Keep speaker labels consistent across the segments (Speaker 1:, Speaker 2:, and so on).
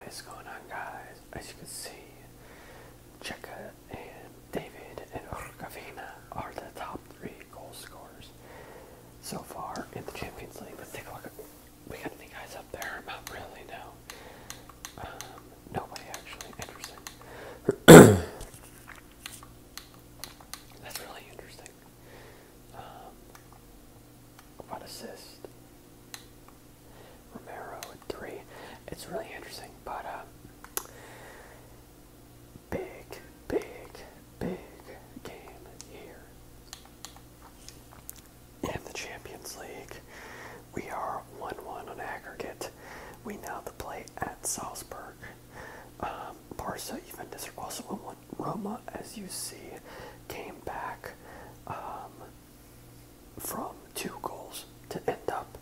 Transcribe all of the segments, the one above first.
Speaker 1: What is going on guys? As you can see, Chika and David and Urkavina are the top three goal scorers so far in the Champions League. Let's take a look. We got any guys up there? Not really, no. Um, nobody actually. Interesting. That's really interesting. Um, what Romero at three. It's really interesting, but uh, big, big, big game here in the Champions League. We are one-one on aggregate. We now have play at Salzburg. Um, Barca even is also one. Roma, as you see, came back. Um, from two goals to end up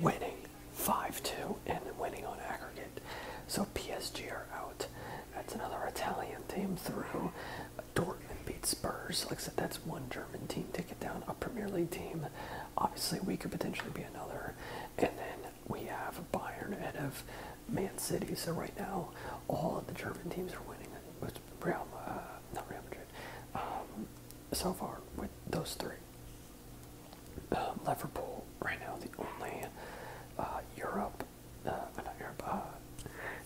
Speaker 1: winning 5-2 and winning on aggregate. So PSG are out. That's another Italian team through. Dortmund beat Spurs. Like I said, that's one German team to get down, a Premier League team. Obviously, we could potentially be another. And then we have Bayern ahead of Man City. So right now, all of the German teams are winning. Real, uh, Real Madrid. Um, so far, with those three, um, Liverpool right now the only uh, Europe, uh, uh, not Europe,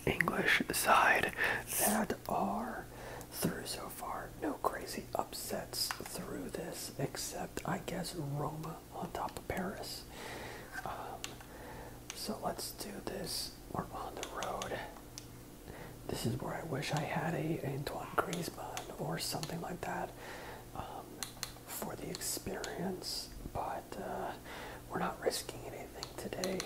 Speaker 1: English side that are through so far. No crazy upsets through this, except I guess Roma on top of Paris. Um, so let's do this. We're on the road this is where I wish I had a Antoine Griezmann or something like that um, for the experience, but uh, we're not risking anything today.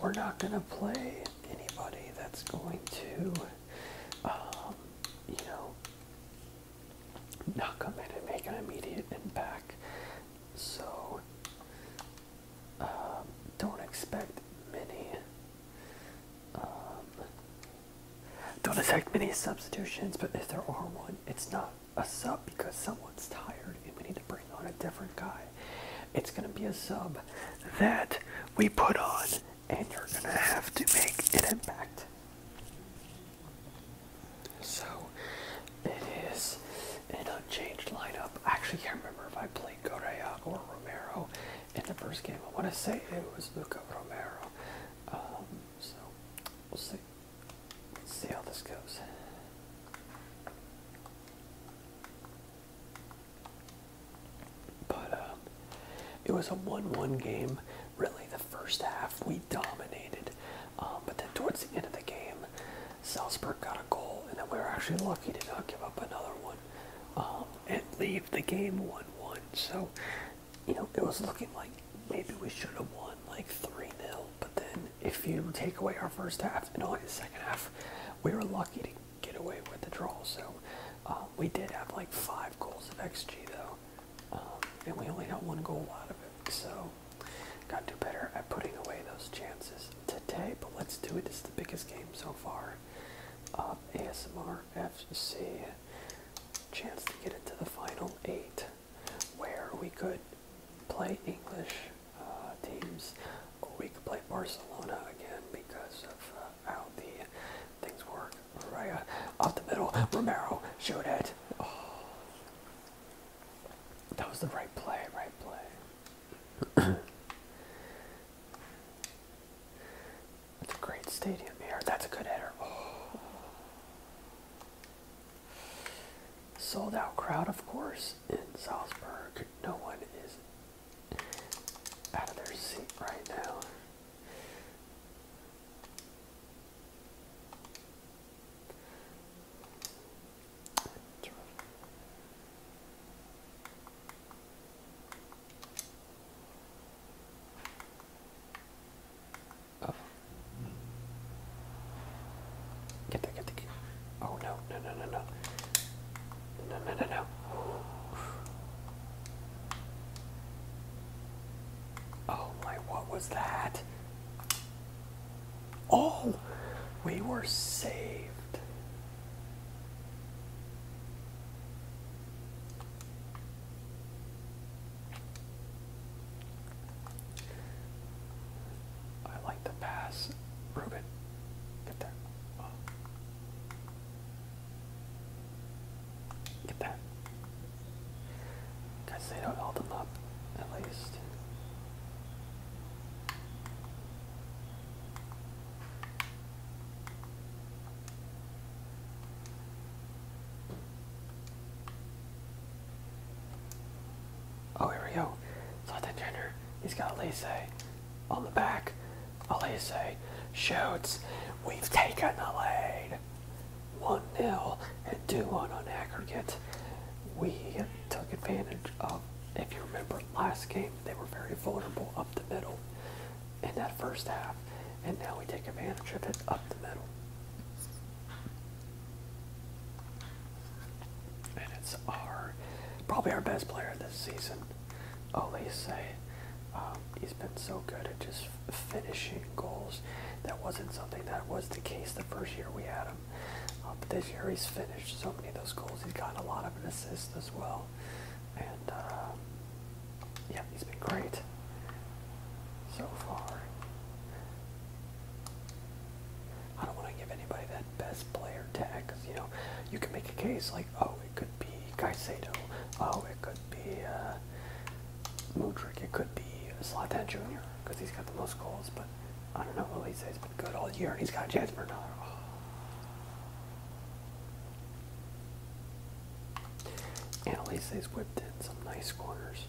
Speaker 1: We're not going to play anybody that's going to, um, you know, not come in and make an immediate impact. So um, don't expect many. Um, don't expect many substitutions, but if there are one, it's not a sub because someone's tired and we need to bring on a different guy. It's going to be a sub that we put on, and you're going to have to make an impact. So, it is an unchanged lineup. I actually can't remember if I played. Stanley or Romero in the first game. I want to say it was Luca Romero. Um, so we'll see. Let's see how this goes. But um, it was a 1-1 game. Really, the first half we dominated, um, but then towards the end of the game, Salzburg got a goal, and then we were actually lucky to not give up another one um, and leave the game 1-1. So, you know, it was looking like maybe we should have won like 3 nil but then if you take away our first half and only the second half, we were lucky to get away with the draw. So, um, we did have like five goals of XG though, um, and we only got one goal out of it. So, Got to do better at putting away those chances today, but let's do it. This is the biggest game so far. ASMR FC. Chance to get into the final eight, where we could play English uh, teams, or we could play Barcelona again because of uh, how the things work. Raya uh, off the middle, Romero, shoot it. Oh, that was the right play, right play. That's a great stadium here. That's a good header. Sold out crowd, of course, in Salzburg. No one is out of their seat right now. Oh. Get that, get the Oh no, no, no, no. No, no, no, no. Oh my, what was that? Oh, we were saved. I like the pass. Ruben, get there. Get that. Guys, they don't hold them up, at least. Oh, here we go. Jonathan he's got Elise on the back. Elise shoots. We've taken the lead. 1 0 and 2 1 on aggregate. We took advantage of if you remember last game, they were very vulnerable up the middle in that first half, and now we take advantage of it up the middle. And it's our probably our best player this season, Olise. Um, he's been so good at just finishing goals. That wasn't something that was the case the first year we had him. Um, but this year he's finished so many of those goals. He's gotten a lot of assists as well. And uh, yeah, he's been great so far. I don't want to give anybody that best player tag you know you can make a case like oh it could be Caicedo, oh it could be uh, Mudrick, it could be Zlatan Jr. because he's got the most goals. But I don't know. He says been good all year, and he's got a chance for another. Oh. And Elise's whipped in some nice corners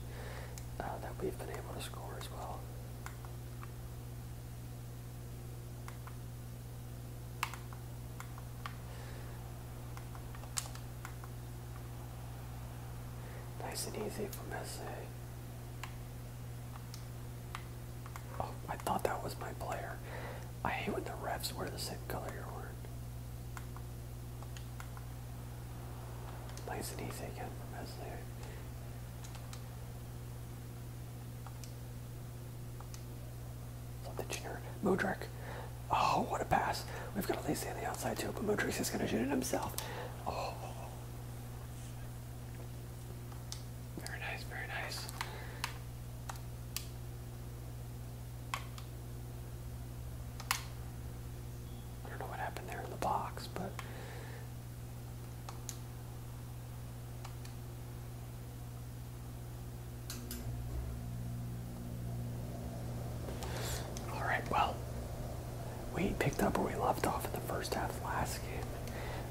Speaker 1: uh, that we've been able to score as well. Nice and easy from SA. Oh, I thought that was my player. I hate when the refs wear the same color you're wearing. Nice and easy again from Mesley. Love the junior. Mudrick. Oh, what a pass. We've got Elise on the outside too, but Mudrick's is going to shoot it himself. Oh. Very nice, very nice. I don't know what happened there in the box, but all right, well, we picked up where we left off in the first half of last game.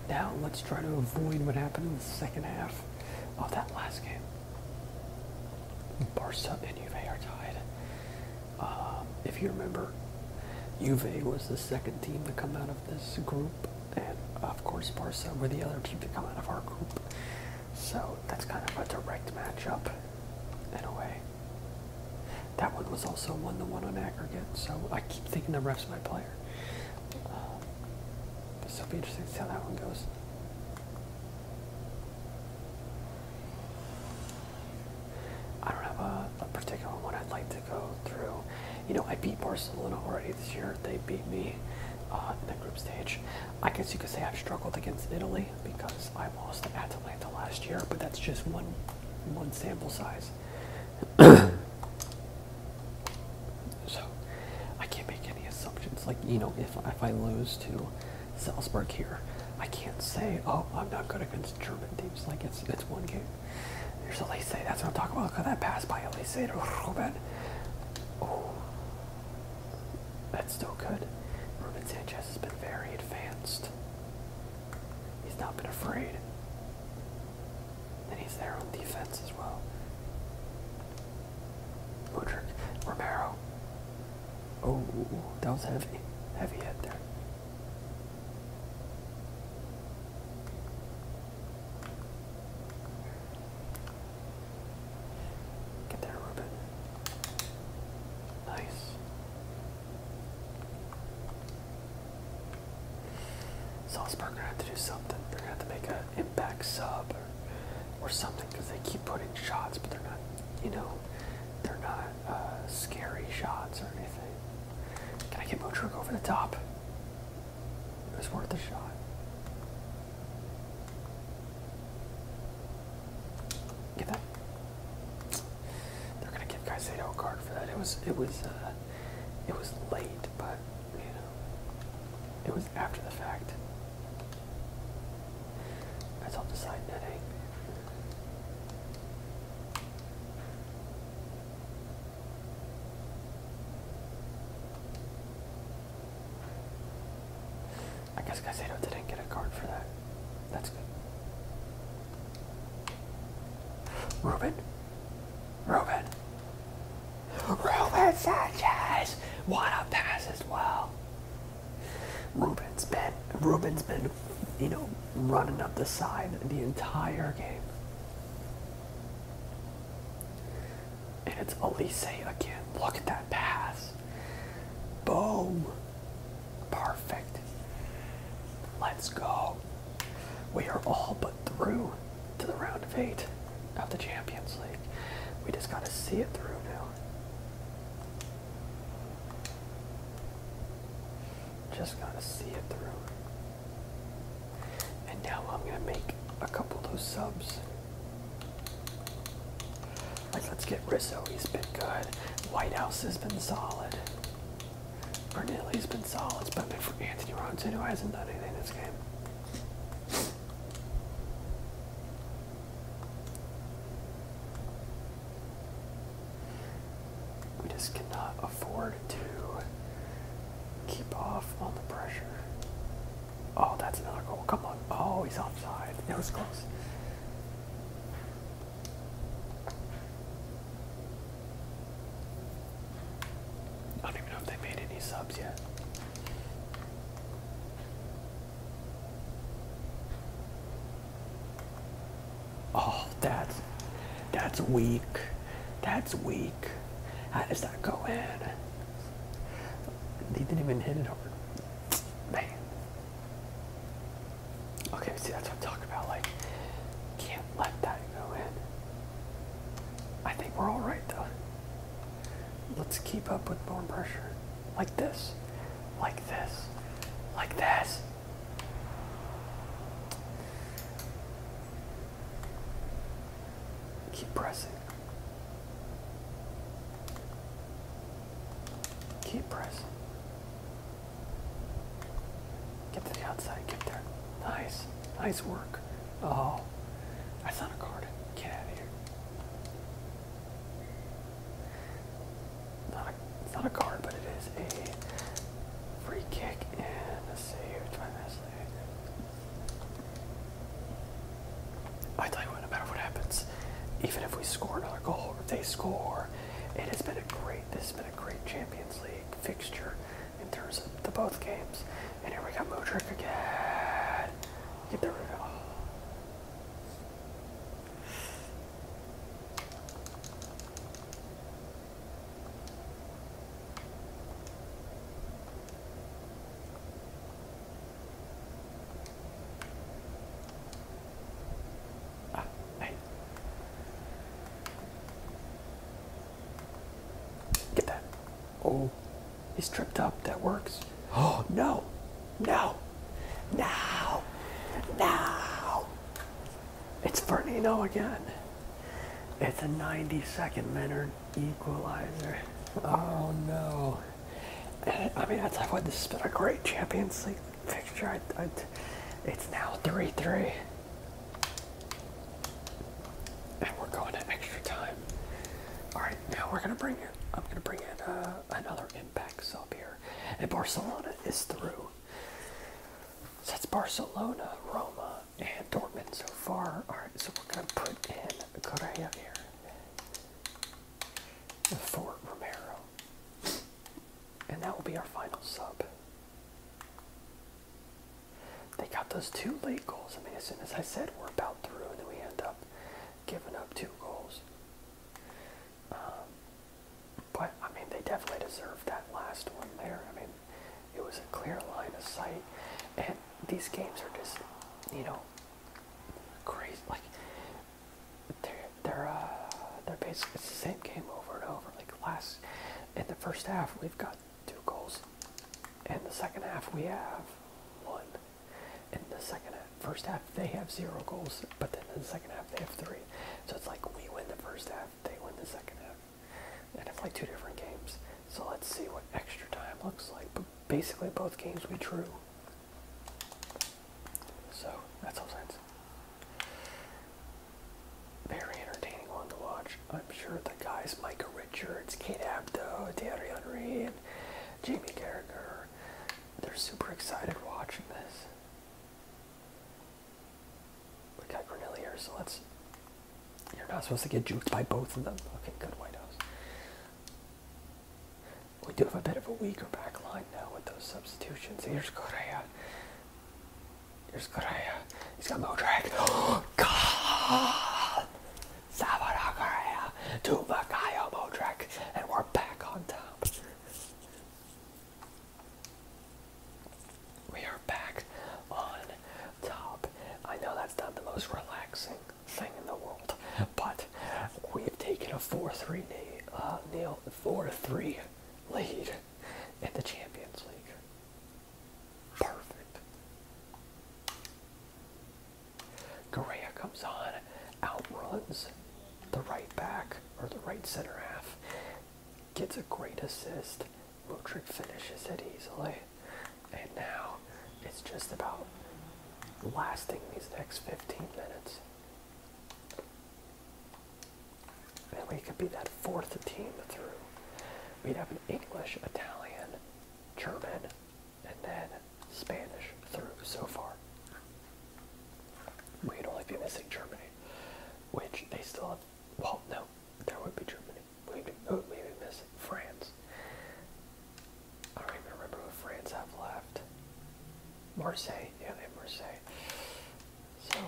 Speaker 1: Now let's try to avoid what happened in the second half of that last game. Barca and Juve are tied. Um, if you remember, Juve was the second team to come out of this group, and of course Barca were the other team to come out of our group. So that's kind of a direct matchup in a way. That one was also one to one on aggregate, so I keep thinking the ref's my player. So uh, this will be interesting to see how that one goes. I don't have a, particular one I'd like to go through. You know, I beat Barcelona already this year. They beat me uh, in the group stage. I guess you could say I've struggled against Italy because I lost at Atalanta last year, but that's just one one sample size. so I can't make any assumptions. Like you know, if if I lose to Salzburg here, I can't say, oh, I'm not good against German teams. Like it's it's one game. There's a Elise. That's what I'm talking about. Look at that pass by Elise to Ruben. Oh, that's still good. Ruben Sanchez has been very advanced. He's not been afraid. And he's there on defense as well. Mudrick, Romero. Oh, that was heavy. Heavy head there. Get there, Ruben. Nice. Salzburg are gonna have to do something. They're gonna have to make an impact sub or, something because they keep putting shots, but they're not, you know, they're not uh, scary shots or anything. Can I get Motrug over the top? It was worth a shot. Get that? They're gonna give Caicedo a card for that. It was it was uh, it was late, but you know, it was after the fact. That's all decided. side I guess Casado didn't get a card for that. That's good. Ruben? Ruben. Ruben Sanchez! What a pass as well. Ruben's been Ruben's been, you know, running up the side the entire game. And it's Elise again. Look at that pass. Boom. Perfect. Let's go. We are all but through to the round of eight of the Champions League. We just got to see it through now. Just got to see it through. And now I'm going to make a couple of those subs. Like, let's get Rizzo, he's been good. White House has been solid. Corneli's been solid. It's been for Anthony Robinson, who hasn't done anything this game. We just cannot afford to keep off on the pressure. Oh, that's another goal. Come on. Oh, he's offside. It was close. I don't even know if they made any subs yet. Oh, that's that's weak. That's weak. How does that go in? They didn't even hit it hard. Man. Okay, see, that's what I'm talking about. Like, can't let that go in. I think we're all right, though. Let's keep up with more pressure. Like this. Like this. Like this. Keep pressing. Keep pressing. Get to the outside, get there. Nice, nice work. Oh, that's not a card. Get out of here. Not a, it's not a card, but it is a free kick and a save. Try this. I tell you no matter what happens, even if we score another goal or if they score, it has been a great. This has been a great Champions League fixture in terms of the both games. And here we got Modric again. Get the reveal. Ah, hey. Get that. Oh, he's tripped up. That works. Oh, no. No. now, now! It's Fernino again. It's a 90 second minute equalizer. Oh, no. I mean, that's what this has been a great Champions League picture. it's now 3 3. And we're going to extra time. Alright, now we're going to bring in, I'm going to bring in another impact sub here. And Barcelona is through. So that's Barcelona, Roma, and Dortmund so far. Alright, so we're going to put in Correa here for Romero. And that will be our final sub. They got those two late goals. I mean, as soon as I said we're about through, and then we end up giving up two goals. Um, but I mean, they definitely deserved that last one there. I mean, it was a clear line of sight, and these games are just, you know, crazy. Like they're they're uh, basically it's the same game over and over. Like last in the first half, we've got two goals. and the second half, we have one. In the second half, first half, they have zero goals, but then in the second half, they have three. So it's like we win the first half, they win the second half. And it's like two different games. So let's see what extra time looks like. But basically, both games we drew. So that's all sense. Very entertaining one to watch. I'm sure the guys Micah Richards, Kate Abdo, Darian Henry, and Jamie Carragher, they're super excited watching this. We got Granilla so let's. You're not supposed to get juked by both of them. Okay, good White House. We do have a bit of a weaker back line now with those substitutions. Here's Correa. Here's Correa. Uh, he's got no drag. Oh, God! Savara Correa to Vakayo And we're back on top. We are back on top. I know that's not the most relaxing thing in the world, but we've taken a 4-3 uh, Neil 4-3 lead in the Champions League. Perfect. Correa comes on, outruns the right back or the right center half, gets a great assist. Modric finishes it easily, and now it's just about lasting these next 15 minutes. And we could be that fourth team through. We'd have an English, Italian, German, and then Spanish through so far. We'd only be missing Germany, which they still have. Well, no, there would be Germany. We'd, we'd miss France. I don't even remember who France have left. Marseille, yeah, they have Marseille. So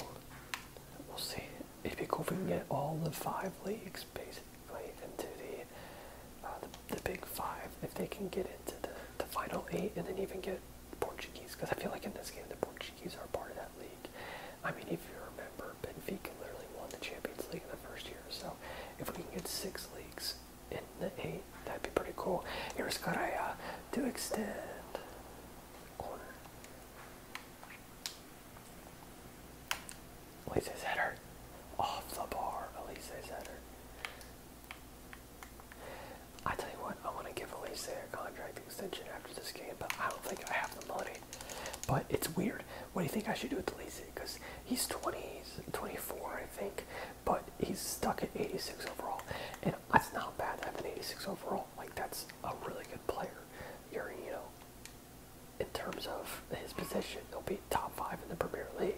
Speaker 1: we'll see. It'd cool if we can get all the five leagues basically into uh, the, the, big five. If they can get into the, the final eight and then even get Portuguese, because I feel like in this game the Portuguese are part of that league. I mean, if you remember, Benfica literally won the Champions League in the first year. So if we can get six leagues in the eight, that'd be pretty cool. Here's Correa to extend corner. Elise's header. Off the bar, Elise's header. I tell you what, I want to give Elise a contract extension after this game, but I don't think I have the money. But it's weird. What do you think I should do with Elise? Because he's 20, he's 24, I think, but he's stuck at 86 overall. And that's not bad to have an 86 overall. Like, that's a really good player. You're, you know, in terms of his position, he'll be top five in the Premier League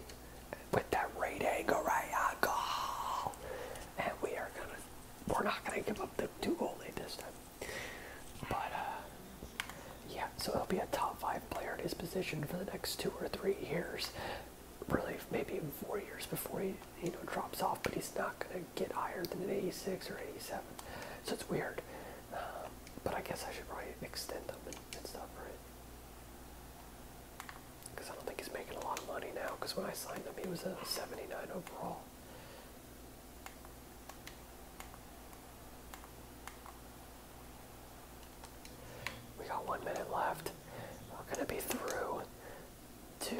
Speaker 1: with that rating. All right, I go. And we are gonna, we're not gonna give up the two goal lead this time. But uh, yeah, so he'll be a top five player at his position for the next two or three years. Really, maybe four years before he you know drops off, but he's not gonna get higher than an 86 or 87. So it's weird. Um, but I guess I should probably extend them and, and stuff, right? Because I don't think he's making a lot of money now. Because when I signed him, he was a 79 overall. We got one minute left. We're gonna be through to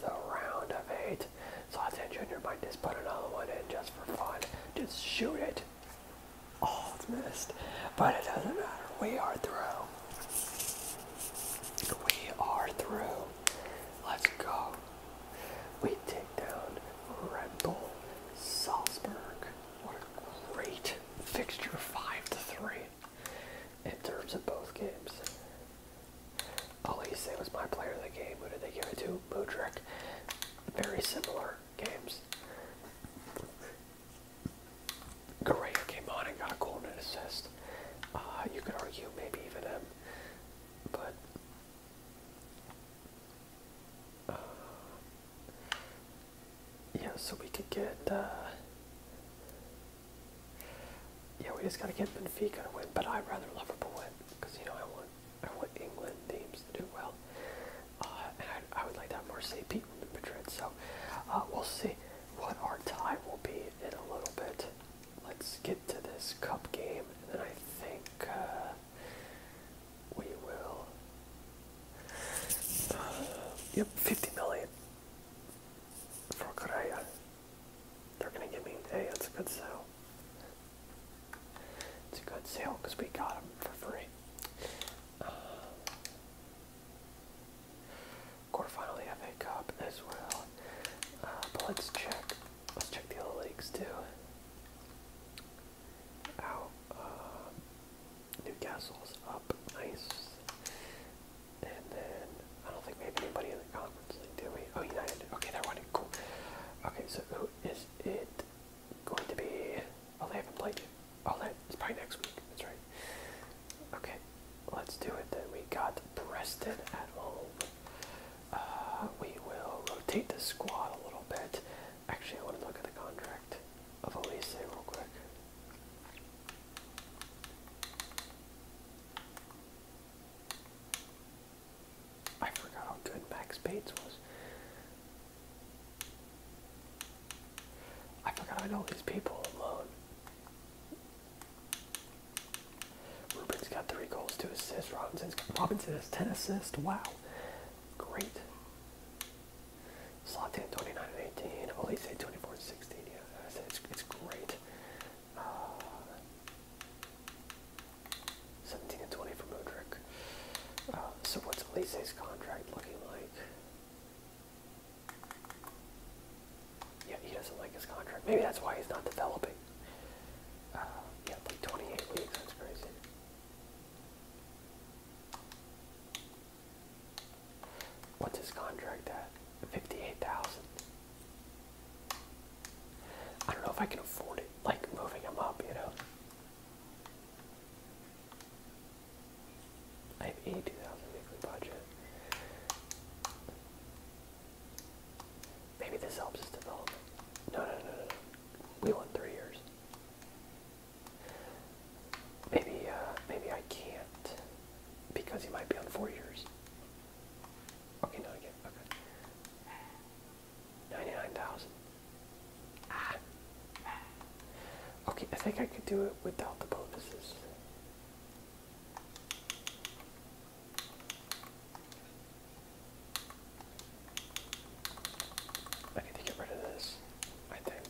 Speaker 1: the round of eight. So I'll Sawton Jr. might just put another one in just for fun. Just shoot it. Oh, it's missed. But it doesn't matter. We are through. We are through. Let's go. We take down Red Bull Salzburg. What a great fixture, five to three, in terms of both games. Elise was my player of the game. Who did they give it to? Mudrick. Very similar games. Correa came on and got a goal and an assist. Uh, you could argue maybe even him, but uh, yeah. So we could get uh, yeah, we just gotta get Benfica to win, but I'd rather Liverpool win because you know I want I want England teams to do well, uh, and I, would like to have Marseille beat Madrid. So uh, we'll see what our tie will be in a little bit. Let's get to this cup game, and then I think uh, we will. Uh, yep, 50 million for Correa. They're gonna give me, hey, that's a good sale. It's a good sale because we got them for free. Um, uh, quarterfinal FA Cup as well. Uh, but let's check. Let's check the other leagues too. Out. Uh, Newcastle's up. Nice. And then I don't think we have anybody in the conference do we? Oh, United. Okay, they're winning. Cool. Okay, so who is it going to be? Oh, they haven't played yet. Oh, that is probably next week. That's right. Okay, let's do it then. We got Preston at home. Uh, we will rotate the squad a little bit. Actually, I want to look at the contract of Elise real quick. I forgot how good Max Bates was. I forgot I know these people alone. Ruben's got three goals, two assists. Robinson's got, Robinson has ten assists. Wow, great. Slotin 29 and 18. Olise 24 and 16. Yeah, it's, it's great. Uh, 17 and 20 for Mudrick. Uh, so what's Elise's contract looking like? Yeah, he doesn't like his contract. Maybe that's why he's not developing. Uh, yeah, like 28 weeks that's crazy. What's his contract at? 58,000. I don't know if I can afford it, like moving them up, you know. I have eighty thousand weekly budget. Maybe this helps us develop. no, no, no, no. We want three years. Maybe, uh, maybe I can't because he might be on four years. Okay, not again. Okay. 99,000. Ah. Okay, I think I could do it without the bonuses. I need to get rid of this, I think.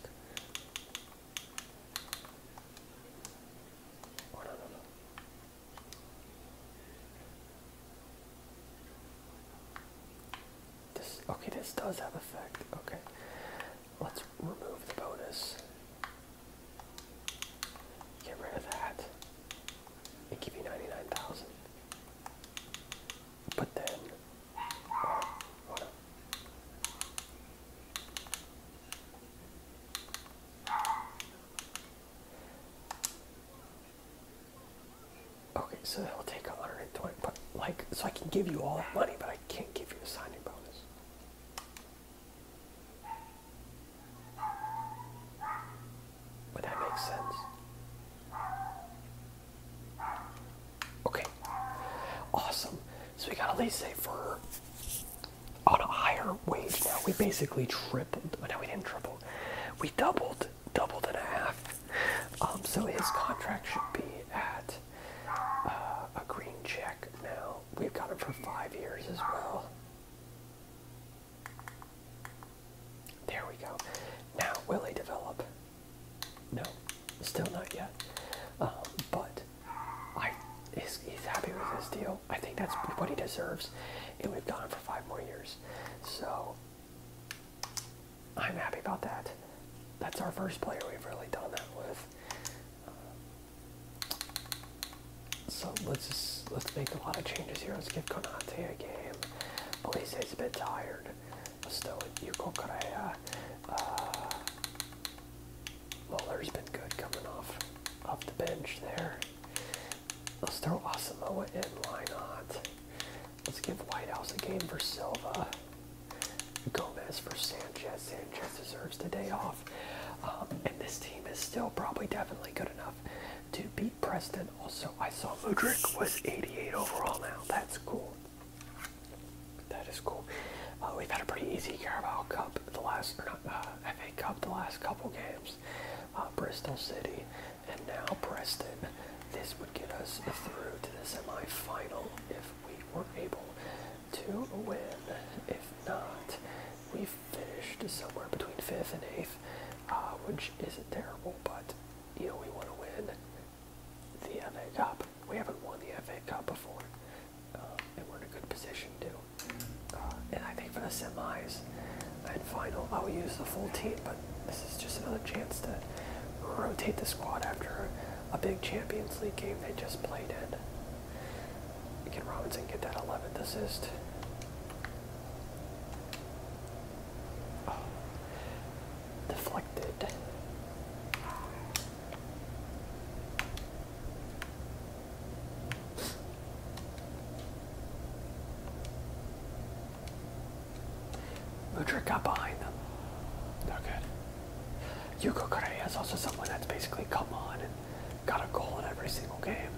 Speaker 1: Oh no no okay, this does have effect. Okay. Let's remove the bonus. Get rid of that. It gives you 99,000. But then Okay, so that'll take a 120, but like, so I can give you all that money, but I can't give you a signing bonus. But that makes sense? Okay, awesome. So we got at least say for on a higher wage now. We basically tripled. No, we didn't triple. We doubled, doubled and a half. Um, so his contract should be at uh, a green check now. We've got him for five years as well. There we go. Now, will he develop? No, still not yet. Um, but I he's, happy with this deal. I think that's what he deserves, and we've got him for five more years. So I'm happy about that. That's our first player we've really done that with. Um, so let's just let's make a lot of changes here. Let's give Konate a game. Police he's a bit tired. Let's throw in Yuko Korea. Uh, Muller's been good coming off off the bench there. Let's throw Asamoah in, why not? Let's give Whitehouse a game for Silva. Gomez for Sanchez. Sanchez deserves the day off. Um, and this team is still probably definitely good enough to beat Preston. Also, I saw Mudrick was 88 overall now. That's cool. That is cool. Uh, we've had a pretty easy Carabao Cup the last, or not, uh, FA Cup, the last couple games, uh, Bristol City, and now Preston. This would get us through to the semi-final if we were able to win. If not, we finished somewhere between 5th and 8th, uh, which isn't terrible, but, you know, we want to win the FA Cup. We haven't won the FA Cup before um, and we're in a good position too. Uh, and I think for the semis and final, I will use the full team, but this is just another chance to rotate the squad after a big Champions League game they just played in. Can Robinson get that 11th assist? Oh, deflected. Ludric got behind them. No good. Yuko Correa is also someone that's basically come on and got a goal in every single game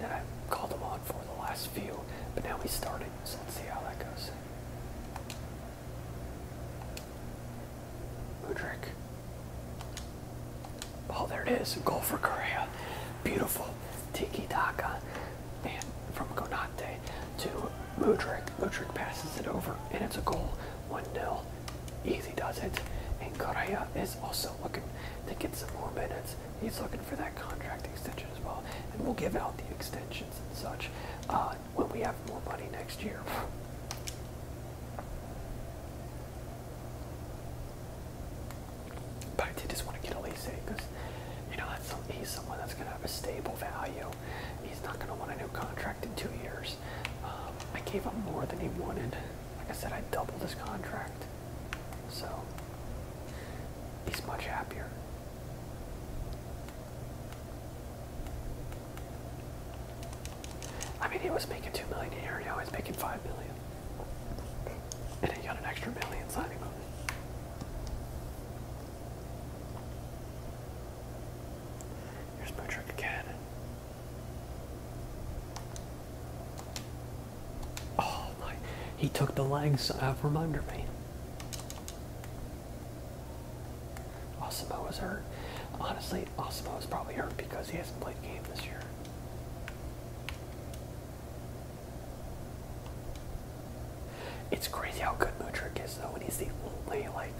Speaker 1: that i called him on for the last few, but now he's starting, so let's see how that goes. Ludric Oh, there it is. Goal for Korea. Beautiful. Tiki Taka. And from Konate to Mudrik. Mudrik passes it over, and it's a goal. 1 0. Easy does it. And Korea is also looking to get some more minutes. He's looking for that contract extension as well. And we'll give out the extensions and such uh, when we have more money next year. But I did just want to get Elise because, you know, he's someone that's going to have a stable value. He's not going to want a new contract in two years. Um, I gave up more than he wanted. Like I said, I doubled his contract. So, he's much happier. I mean, he was making two million a year. Now he's making five million, and he got an extra million signing bonus. Here's Bootrick again. Oh my! He took the legs uh, from under me. Osimo oh, was hurt. Honestly, Osmo is probably hurt because he hasn't played a game this year. It's crazy how good Mudrick is though, and he's the only like,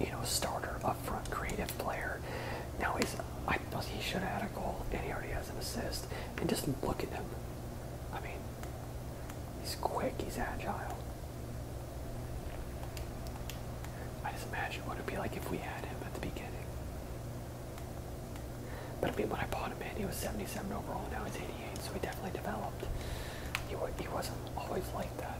Speaker 1: you know, starter up front creative player. Now he's I he should have had a goal and he already has an assist. And just look at him. I mean, he's quick, he's agile. I just imagine what it'd be like if we had him at the beginning. But I mean, when I bought him in, he was 77 overall. Now he's 88, so he definitely developed. He wasn't always like that.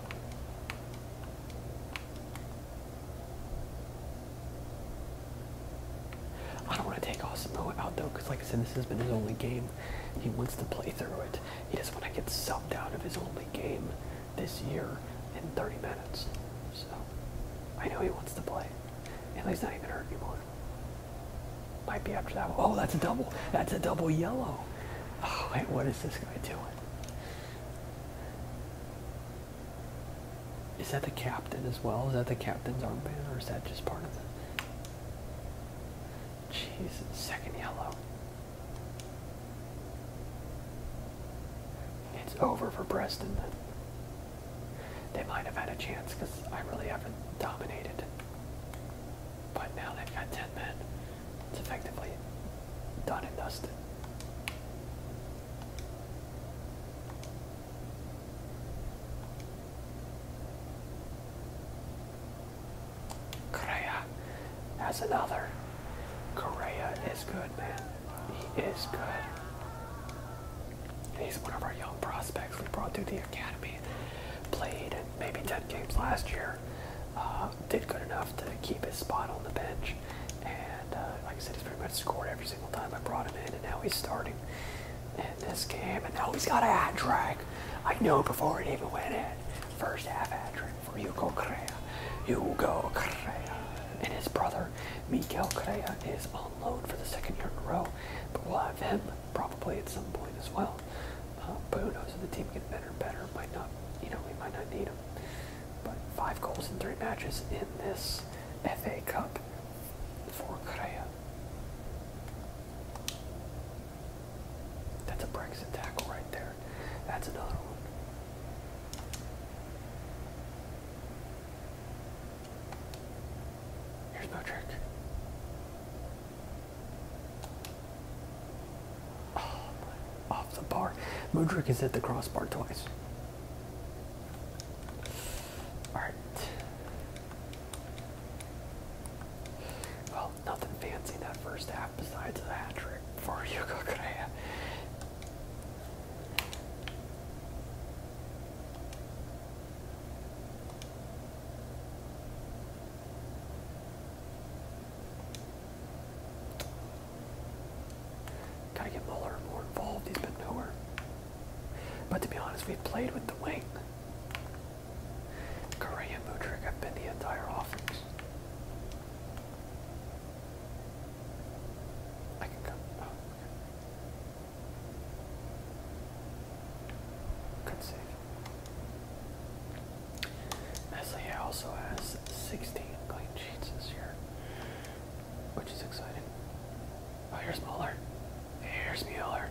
Speaker 1: I don't want to take Osmo out though, because like I said, this has been his only game. He wants to play through it. He doesn't want to get subbed out of his only game this year in 30 minutes. So I know he wants to play. And he's not even hurt anymore. Might be after that one. Oh, that's a double. That's a double yellow. Oh, wait, what is this guy doing? Is that the captain as well? Is that the captain's armband or is that just part of the? Jeez, second yellow. It's over for Preston. They might have had a chance because I really haven't dominated. But now they've got 10 men. It's effectively done and dusted. Correa has another. Correa is good, man. He is good. And he's one of our young prospects we brought through the academy. Played maybe 10 games last year. Uh, did good enough to keep his spot on the bench. And uh, like I said, he's pretty much scored every single time I brought him in. And now he's starting in this game. And now he's got a hat trick. I know before it even went in. First half hat trick for Hugo Correa. Hugo Correa and his brother Miguel Correa is on loan for the second year in a row, but we'll have him probably at some point as well. Uh, but who knows if the team gets better and better? Might not, you know, we might not need him. But five goals in three matches in this FA Cup for Correa. That's a Brexit tackle right there. That's another one. There's no trick. Oh, off the bar. Mudrick has hit the crossbar twice. Alright. Well, nothing fancy that first half besides a trick for Yuka Korea. Gotta get Muller more involved. He's been nowhere. But to be honest, we've played with the wing. Correa and Mudrick have been the entire offense. I can come. Oh, Good save. Nestle also has 16 clean sheets this year, which is exciting. Oh, here's Muller. Here's Mueller.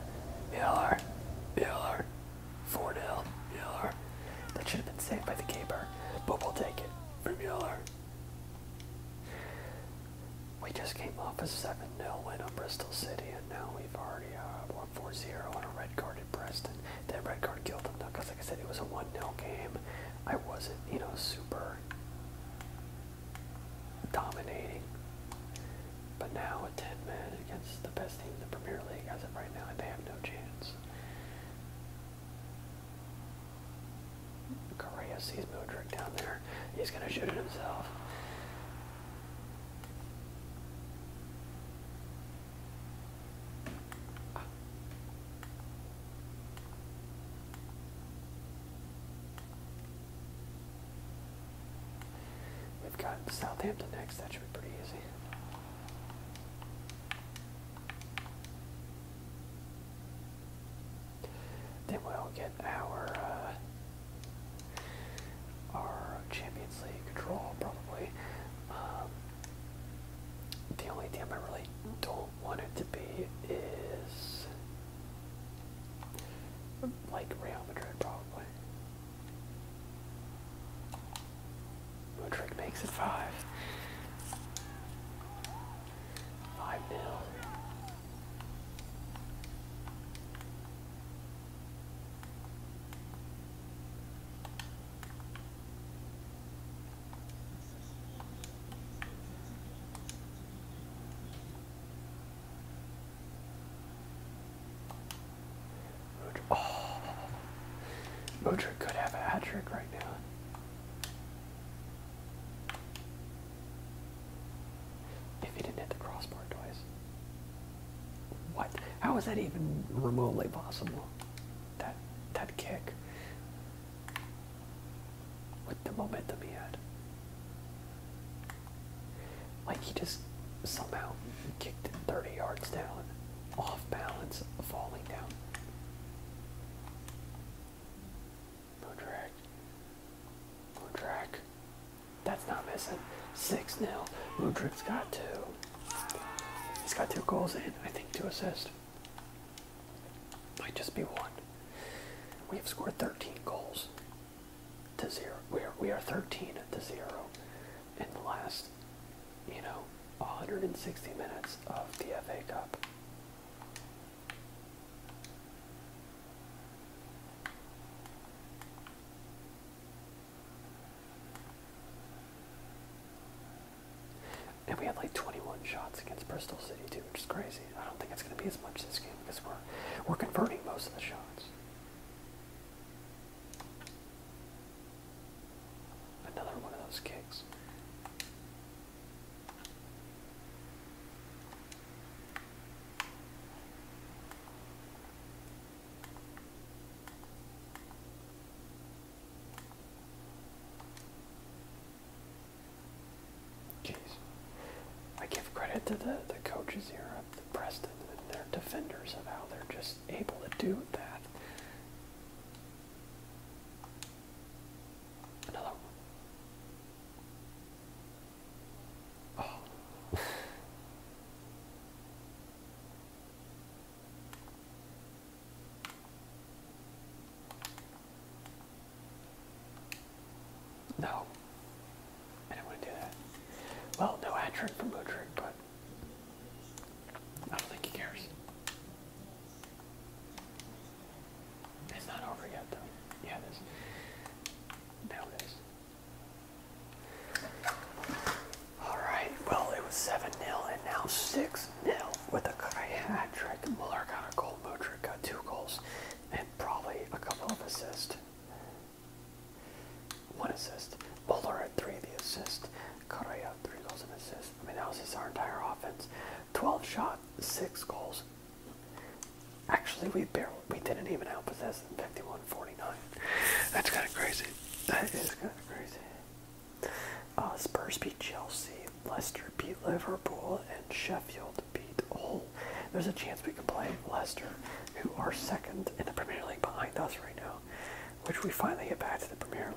Speaker 1: Mueller. Mueller. 4 0. Mueller. That should have been saved by the keeper, but we'll take it for Mueller. We just came off a 7-0 win on Bristol City, and now we've already uh, won 4-0 on a red card at Preston. That red card killed them, though, because, like I said, it was a 1-0 game. I wasn't, you know, super dominating. But now, a 10-man against the best team in the Premier League, as of right now, they have no chance. Korea sees Mudrick down there. He's going to shoot it himself. We've got Southampton next. That should be pretty easy. Then we'll get our uh, our Champions League draw probably. Um, the only team I really don't want it to be is like Real Madrid probably. Woodrick makes it five. Five nil. Modric oh. could have a hat trick right now. If he didn't hit the crossbar twice. What? How is that even remotely possible? That that kick. With the momentum he had. Like he just somehow kicked it 30 yards down, off balance, falling down. Mudrak. Mudrak. That's not missing. 6 nil. Mudrak's got two. He's got two goals and I think two assists. Might just be one. We have scored 13 goals to zero. We are, we are 13 to zero in the last you know, 160 minutes of the FA Cup. And we had like 21 shots against Bristol City too, which is crazy. I don't think it's going to be as much this game because we're we're converting most of the shots. Another one of those kicks. Jeez. I give credit to the, the coaches here at the Preston and their defenders of how they're just able to do that. Another oh. no. I didn't want to do that. Well, no hat trick for from trick, but I don't think he cares. It's not over yet, though. Yeah, it is. Now it is. Alright, well, it was 7 0 and now 6 0 with a hat trick. Muller got a goal, Mudrick got two goals, and probably a couple of assists. One assist. Muller had three of the assists. Correa, three goals and assists. I mean, that was his our entire offense. 12 shot, six goals. Actually, we barely, we didn't even outpossess them 51-49. That's kind of crazy. That is kind of crazy. Uh, Spurs beat Chelsea, Leicester beat Liverpool, and Sheffield beat Hull. There's a chance we could play Leicester, who are second in the Premier League behind us right now, which we finally get back to the Premier League.